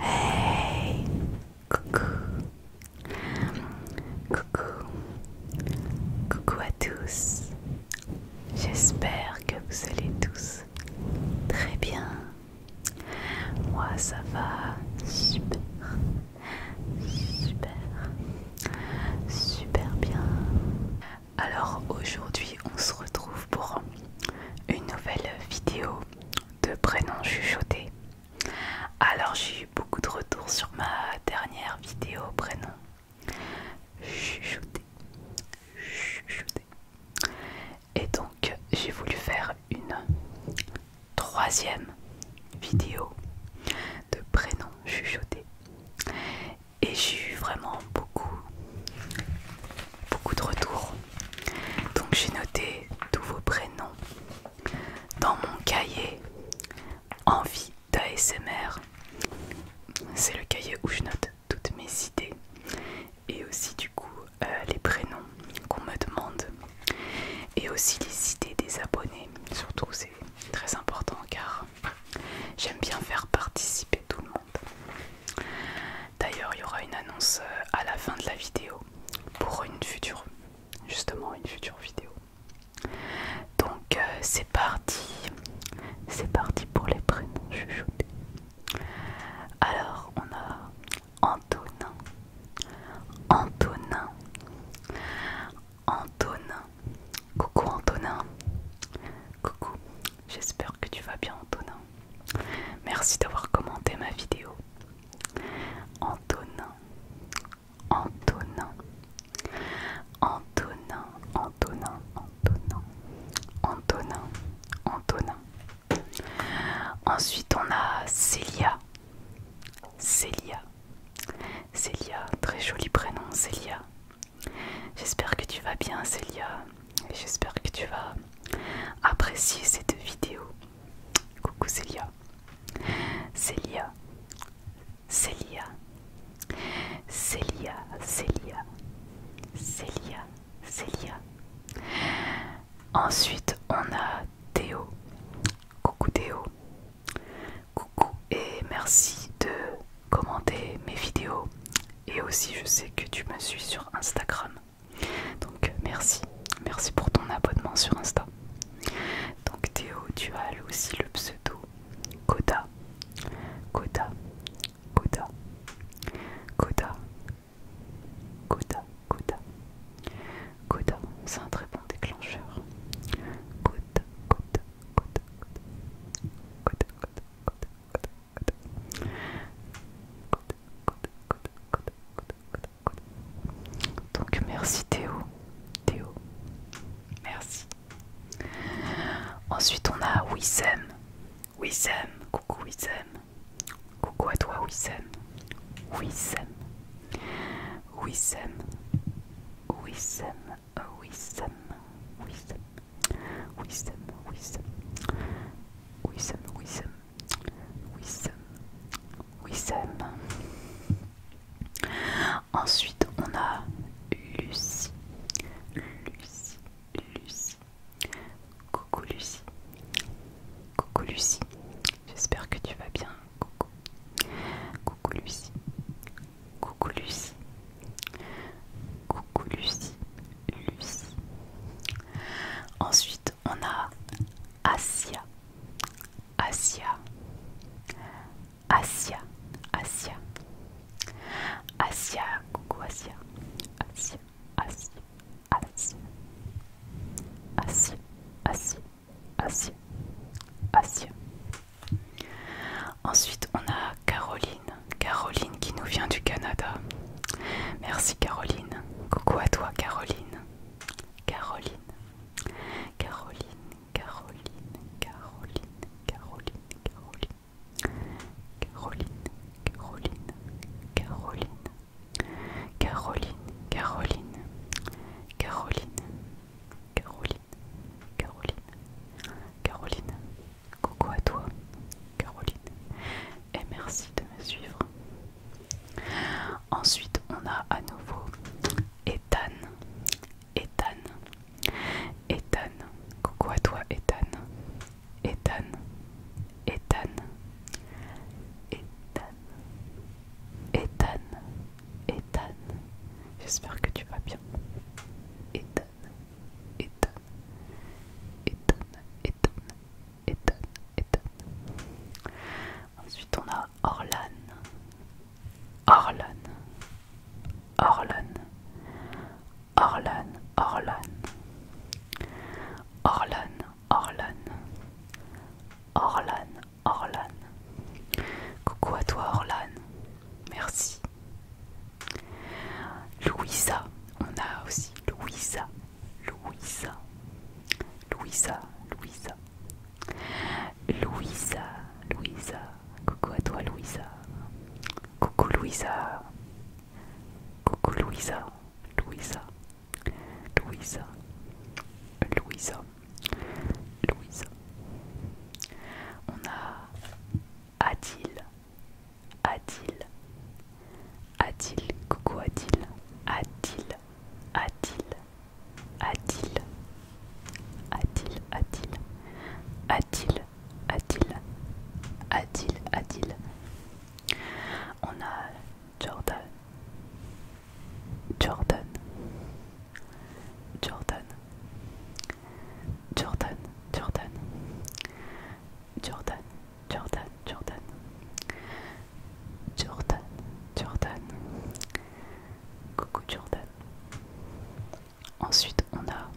Hey, coucou, coucou, coucou à tous. J'espère que vous allez tous très bien. Moi, ça va super, super, super bien. Alors aujourd'hui on se retrouve pour une nouvelle vidéo de prénom chuchoté. Alors j'ai eu beaucoup de retours sur ma dernière vidéo prénom chuchoté. Et donc j'ai voulu faire une troisième vidéo de prénom chuchoté et j'ai eu vraiment beaucoup, beaucoup de retours. Donc j'ai noté tous vos prénoms dans mon cahier Envie d'ASMR. C'est le cahier où je note toutes mes idées et aussi du coup euh, les prénoms qu'on me demande et aussi les idées des abonnés. Surtout c'est très important car J'aime bien faire participer tout le monde. D'ailleurs, il y aura une annonce euh, à la fin de la vidéo pour une future, justement une future vidéo. Donc euh, c'est parti, c'est parti pour les prénoms chuchotés. Alors on a Antonin, Antonin, Antonin, Coucou Antonin. Coucou. J'espère que tu vas bien Antonin. Merci d'avoir commenté ma vidéo. Antonin. Antonin. Antonin. Antonin. Antonin. Antonin. Antonin. Ensuite on a Célia. Célia. Célia, très joli prénom, Célia. J'espère que tu vas bien, Célia. j'espère que tu vas apprécier cette vidéo. Coucou, Célia. Célia. Célia. Célia, Célia. Célia, Célia. Ensuite, on a Théo. Coucou Théo. Coucou et merci de commenter mes vidéos. Et aussi, je sais que tu me suis sur Instagram. Donc, merci. Merci pour ton abonnement sur Insta. Donc, Théo, tu as aussi le pseudo Koda. Koda. Koda. Koda. Koda. Koda. Coda, c'est un très bon déclencheur. Coda, coda, coda, coda, coda, coda, coda, coda, coda, coda, coda, coda, coda. Donc merci Théo, Théo, merci. Ensuite on a Wisem, Wisem, coucou Wisem, coucou à toi Wisem, Wisem. Wissem, Wissem, Wissem, Wissem, Wissem, Wissem, Wissem, Wissem, Wissem, Wissem. Ensuite, on a Lucie, Lucie, Lucie. Coucou Lucie, coucou Lucie, J'espère que tu vas bien. Coucou. Coucou Lucie. Coucou Lucie. Coucou Lucie. Lucie. Ensuite, on a Asia. Asia. Asia. Asia. Asia. Coucou Asia. Asia. Asia. Asia. Asia. Asie. Asie. Ensuite, on a Caroline. Caroline qui nous vient du Canada. Merci Caroline. Coucou à toi Caroline. Caroline. Caroline, Caroline, Caroline, Caroline, Caroline. Caroline, Caroline, Caroline. Caroline, Caroline, Caroline, Caroline, Caroline, Caroline. Coucou à toi, Caroline, et merci de me suivre. Ensuite, on a à nouveau Ethan, Ethan, Ethan. Coucou à toi, Ethan, Ethan, Ethan, Ethan. Ethan. Ethan, Ethan, j'espère que tu vas bien. Ethan, Ethan, Ethan, Ethan, Ethan, Ethan. Ensuite on a Orlan, Orlan, Orlan, Orlan, Orlan, Orlan, Orlan. Orlan, Orlan. Coucou à toi Orlan. Merci. Louisa. On a aussi Louisa. Louisa. Louisa. Louisa. Louisa. Louisa. Coucou à toi Louisa. Coucou Louisa. Coucou Louisa. Louisa. Louisa, Louisa, Louisa. On a Adil, Adil, Adil, coucou Adil, Adil, Adil, Adil, Adil, Adil, Adil, Adil, Adil, Adil. On a Jordan Jordan Jordan Jordan Jordan Jordan Jordan Jordan Jordan Jordan Coucou Jordan Ensuite on a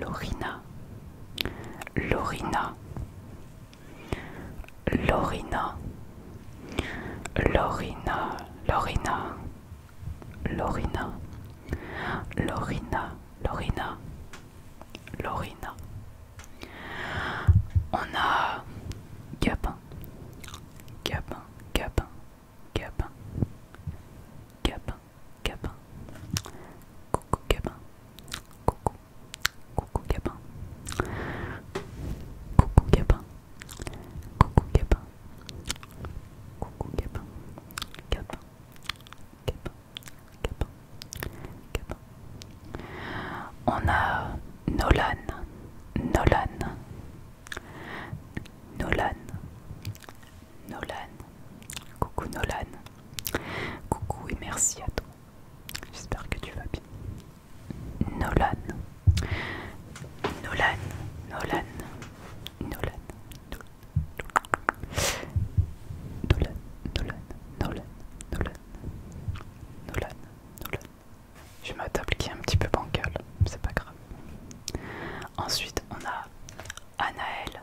Lorina Lorina Lorina, Lorina, Lorina, Lorina, Lorina, Lorina, Lorina. On a Gabin, Gabin, Gabin, Gabin, Gabin, Gabin. Coucou Gabin, coucou Coucou Gabin. Coucou Gabin. Coucou Gabin. Coucou Gabin. Gabin. Gabin. Gabin. Gabin. On a Nolan. Nolan. Nolan. Nolan. Coucou Nolan. Coucou et merci à toi. J'espère que tu vas bien. Nolan. Nolan. Nolan. Nolan. Nolan. Nolan. Nolan. Nolan. Nolan. Nolan. J'ai ma table qui est un petit peu bancale, c'est pas grave. Ensuite, on a Anaël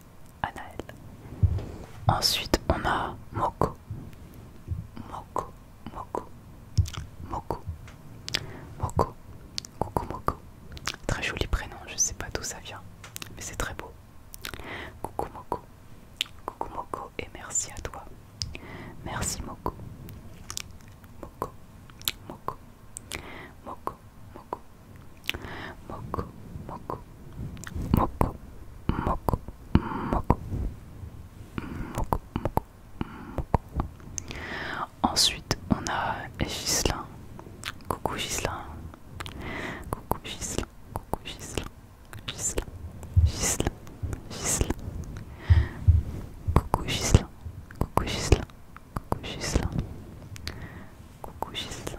Anaël. Ensuite, on a Moko. Moko, Moko, Moko, Moko, Coucou Moko. Très joli prénom, je ne sais pas d'où ça vient, mais c'est très beau. Coucou Moko, Coucou Moko et merci à toi. Merci Moko. Moko, Moko, Moko, Moko, Ensuite, on a Gislin. Coucou Gislin. Coucou Gislin. Coucou Gislin. Gislin. Gislin. Gislin. Coucou Gislin. Coucou Gislin. Coucou Gislin. Coucou Gislin.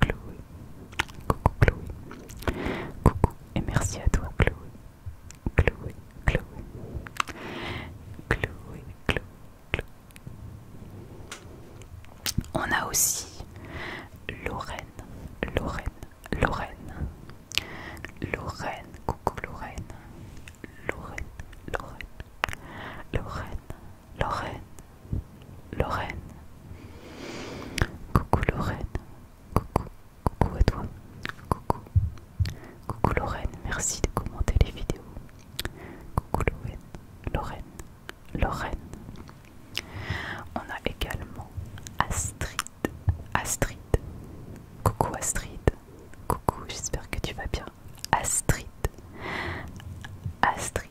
Chloé. Coucou Chloé. Coucou et merci à toi Chloé. Chloé, Chloé. Chloé, Chloé, Chloé. On a aussi Lorraine, Lorraine, Lorraine. Lorraine, coucou Lorraine. Lorraine, Lorraine. Lorraine, Lorraine, Lorraine. Coucou Lorraine. Coucou. Coucou à toi. Coucou. Coucou Lorraine. Merci de commenter les vidéos. Coucou Lorraine. Lorraine. Lorraine. On a également Astrid. Astrid. Coucou Astrid. Coucou, j'espère que tu vas bien. Astrid. Astrid.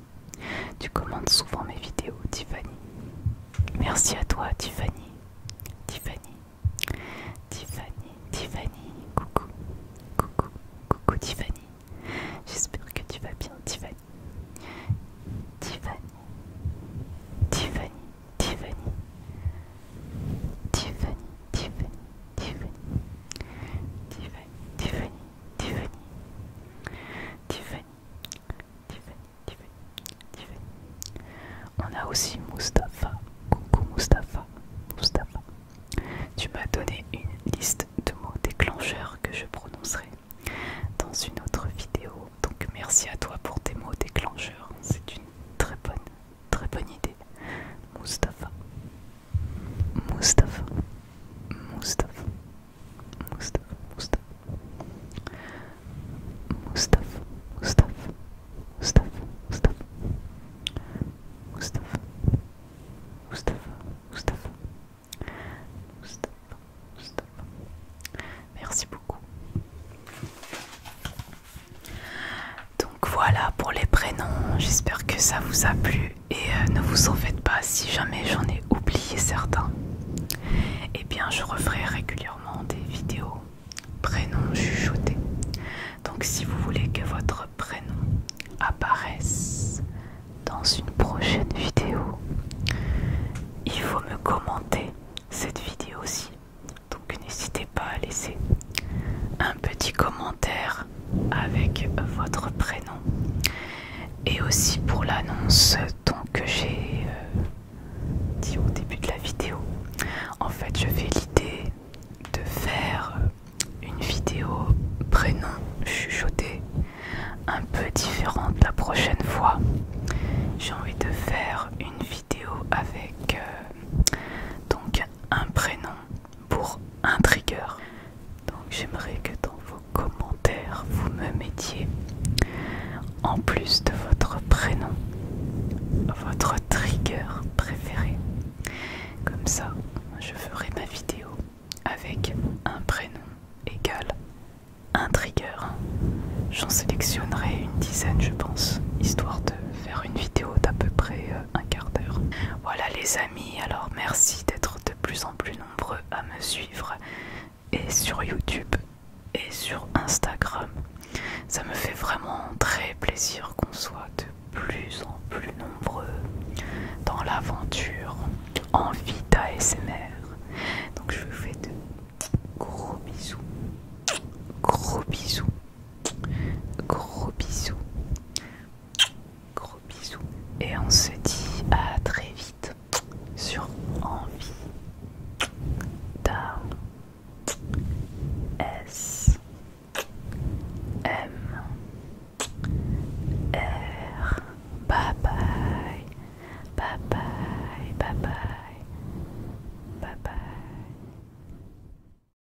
tu commandes souvent mes vidéos, Tiffany. Merci à toi, Tiffany. Tiffany. Tiffany, Tiffany. Coucou. Coucou. Coucou, Tiffany. J'espère que tu vas bien, Tiffany. Tiffany. Tiffany. Tiffany. Tiffany. Tiffany. Tiffany. Tiffany. Tiffany. Tiffany, Tiffany, Tiffany, Tiffany, On a aussi Mustapha. Coucou Mustapha, Mustapha. Tu m'as donné une liste de mots déclencheurs que je prononcerai dans une autre vidéo. Donc merci à toi pour tes mots déclencheurs. C'est une très bonne, très bonne idée. Mustapha. Mustapha, Mustapha, Mustapha, Mustapha, Mustapha, Mustapha, Mustapha, Mustapha, Mustapha, Mustapha, Merci beaucoup. Donc voilà pour les prénoms, j'espère que ça vous a plu. Et euh, ne vous en faites pas si jamais j'en ai oublié certains. Eh bien, je referai régulièrement des vidéos prénoms chuchotés. Donc, si vous voulez que votre prénom apparaisse dans une prochaine vidéo, il faut me commenter cette vidéo aussi. Donc, n'hésitez pas à laisser un petit commentaire avec votre prénom et aussi pour l'annonce que j'ai euh, dit au début de la vidéo. En fait, je fais l'idée de faire une vidéo prénom chuchoté un peu différente la prochaine fois. J'ai envie de faire une vidéo avec euh, donc un prénom pour un trigger. Donc j'aimerais que dans vos commentaires, vous me mettiez, en plus de votre prénom, votre trigger préféré. Comme ça, je ferai ma vidéo avec un prénom égal un trigger. J'en sélectionnerai une dizaine, je pense, histoire de faire une vidéo d'à peu près euh, un quart d'heure. Voilà les amis alors merci d'être de plus en plus nombreux à me suivre et sur YouTube et sur Instagram. Ça me fait vraiment très plaisir qu'on soit de plus en plus nombreux dans l'aventure en vie d'ASMR. Donc je vous fais de gros bisous, gros bisous, gros bisous. Gros bisous. Et on se dit à très vite sur Envie S M R. bye. Bye bye. Bye bye. Bye bye.